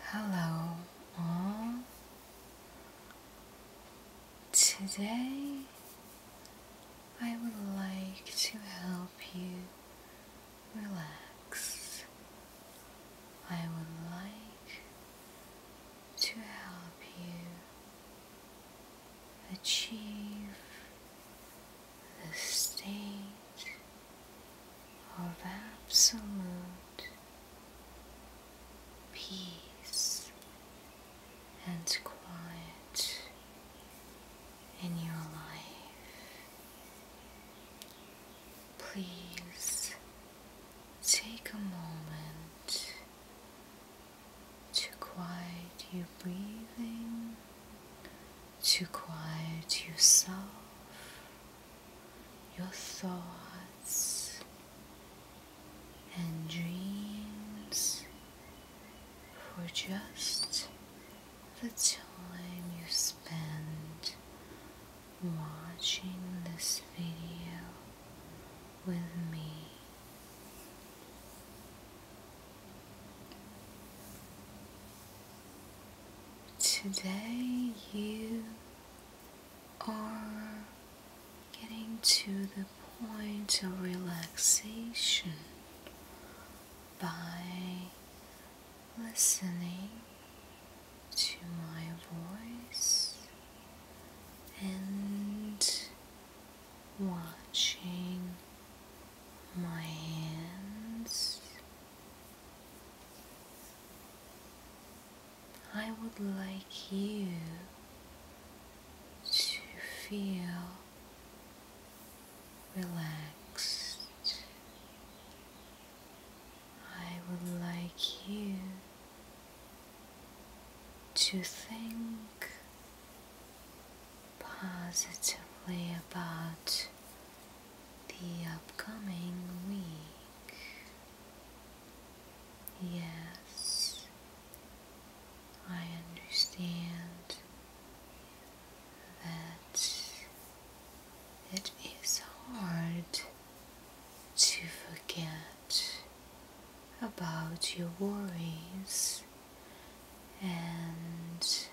Hello, Today I would like to help you relax. I would like to help you achieve the state of absolute peace and quiet in your life. Please take a moment to quiet your breathing to quiet yourself, your thoughts, and dreams for just the time you spend watching this video with me. Today you are getting to the point of relaxation by listening to my voice and watching my hands I would like you to feel relaxed. I would like you to think positively about the upcoming week. Yes, I understand that it is hard to forget about your worries and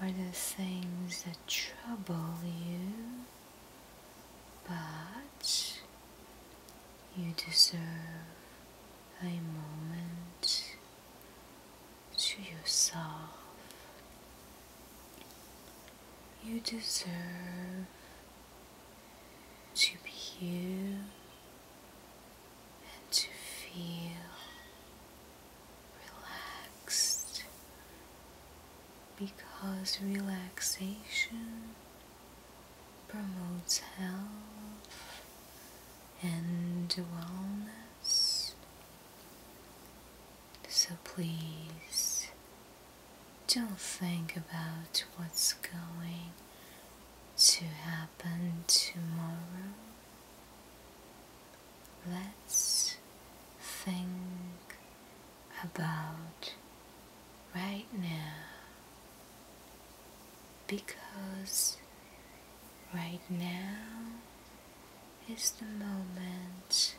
are the things that trouble you, but you deserve a moment to yourself. You deserve to be here and to feel relaxed because relaxation promotes health and wellness. So please don't think about what's going to happen tomorrow let's think about right now because right now is the moment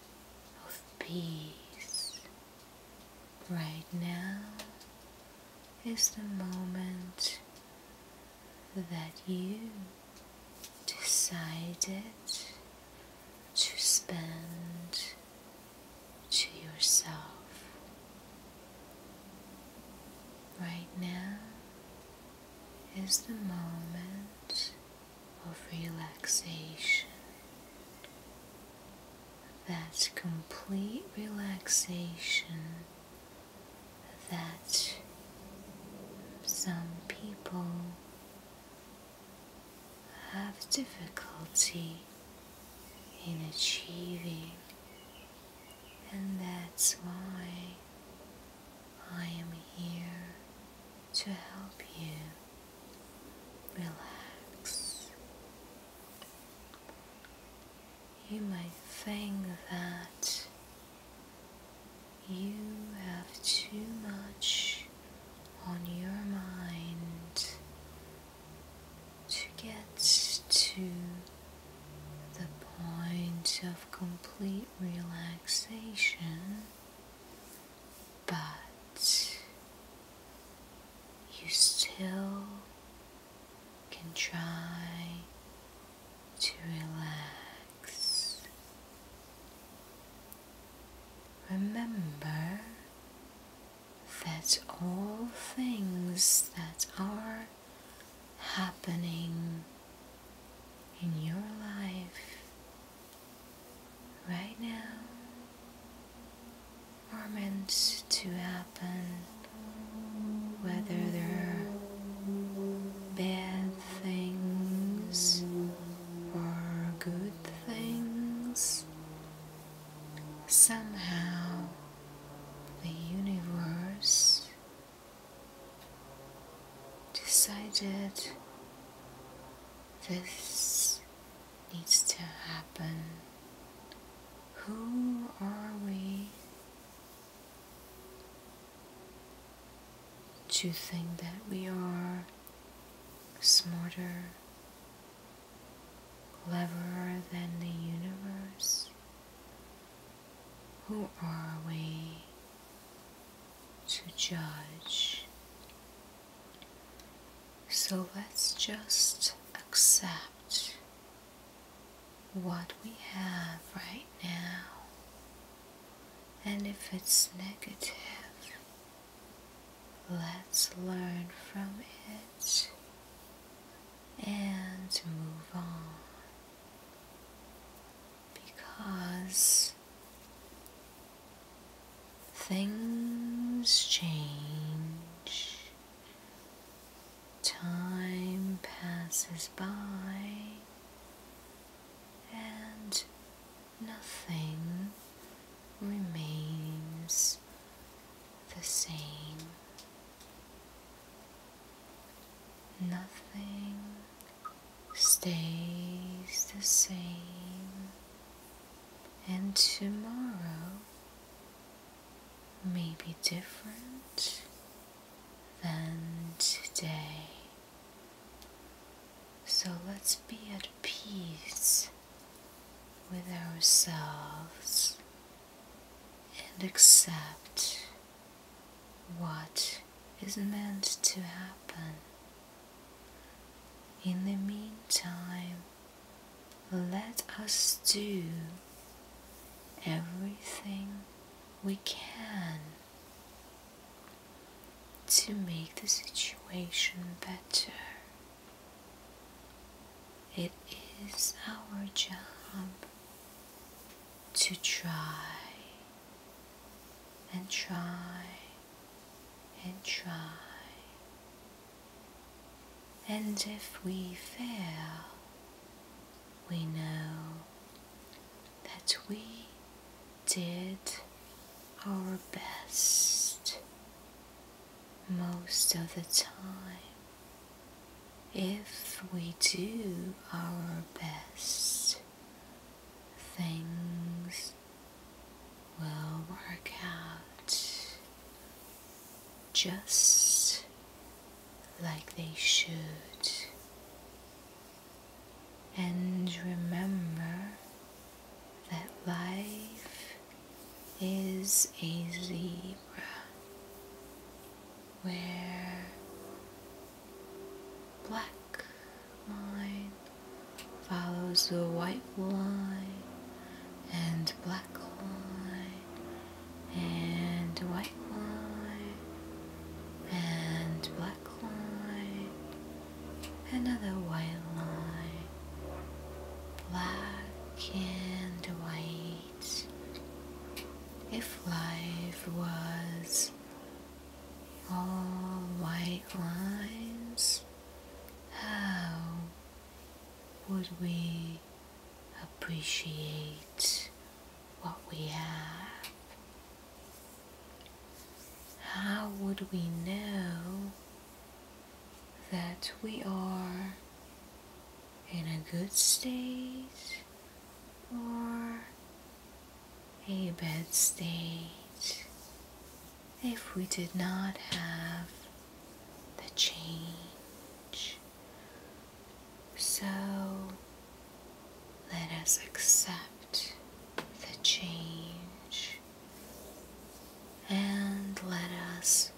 of peace. Right now is the moment that you decided to spend to yourself right now is the moment of relaxation that complete relaxation that some people have difficulty in achieving, and that's why I am here to help you relax. You might think that you have too much on your mind to get to the point of complete relaxation, but you still can try to relax. Remember that all things that are happening in your life right now are meant to happen whether they're bad things, were good things. Somehow, the universe decided this needs to happen. Who are we to think that we are smarter, cleverer than the universe? Who are we to judge? So let's just accept what we have right now and if it's negative, let's learn from it and move on. Because things change, time passes by, and nothing remains the same. Nothing stays the same, and tomorrow may be different than today. So let's be at peace with ourselves and accept what is meant to happen. In the meantime, let us do everything we can to make the situation better. It is our job to try and try and try. And if we fail, we know that we did our best most of the time. If we do our best, things will work out just like they should and remember that life is a zebra where black line follows the white line and black line and white line and black another white line, black and white. If life was all white lines, how would we appreciate what we have? How would we know that we are in a good state or a bad state if we did not have the change? So, let us accept the change and let us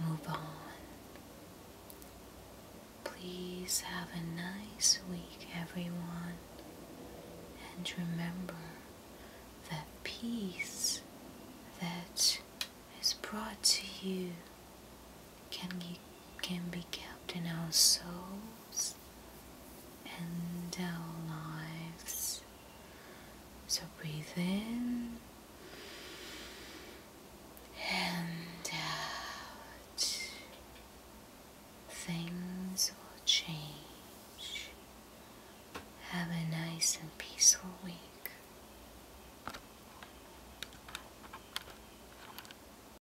move on. Please have a nice week, everyone, and remember that peace that is brought to you can, can be kept in our souls and our lives. So breathe in and out. Things will change. Have a nice and peaceful week.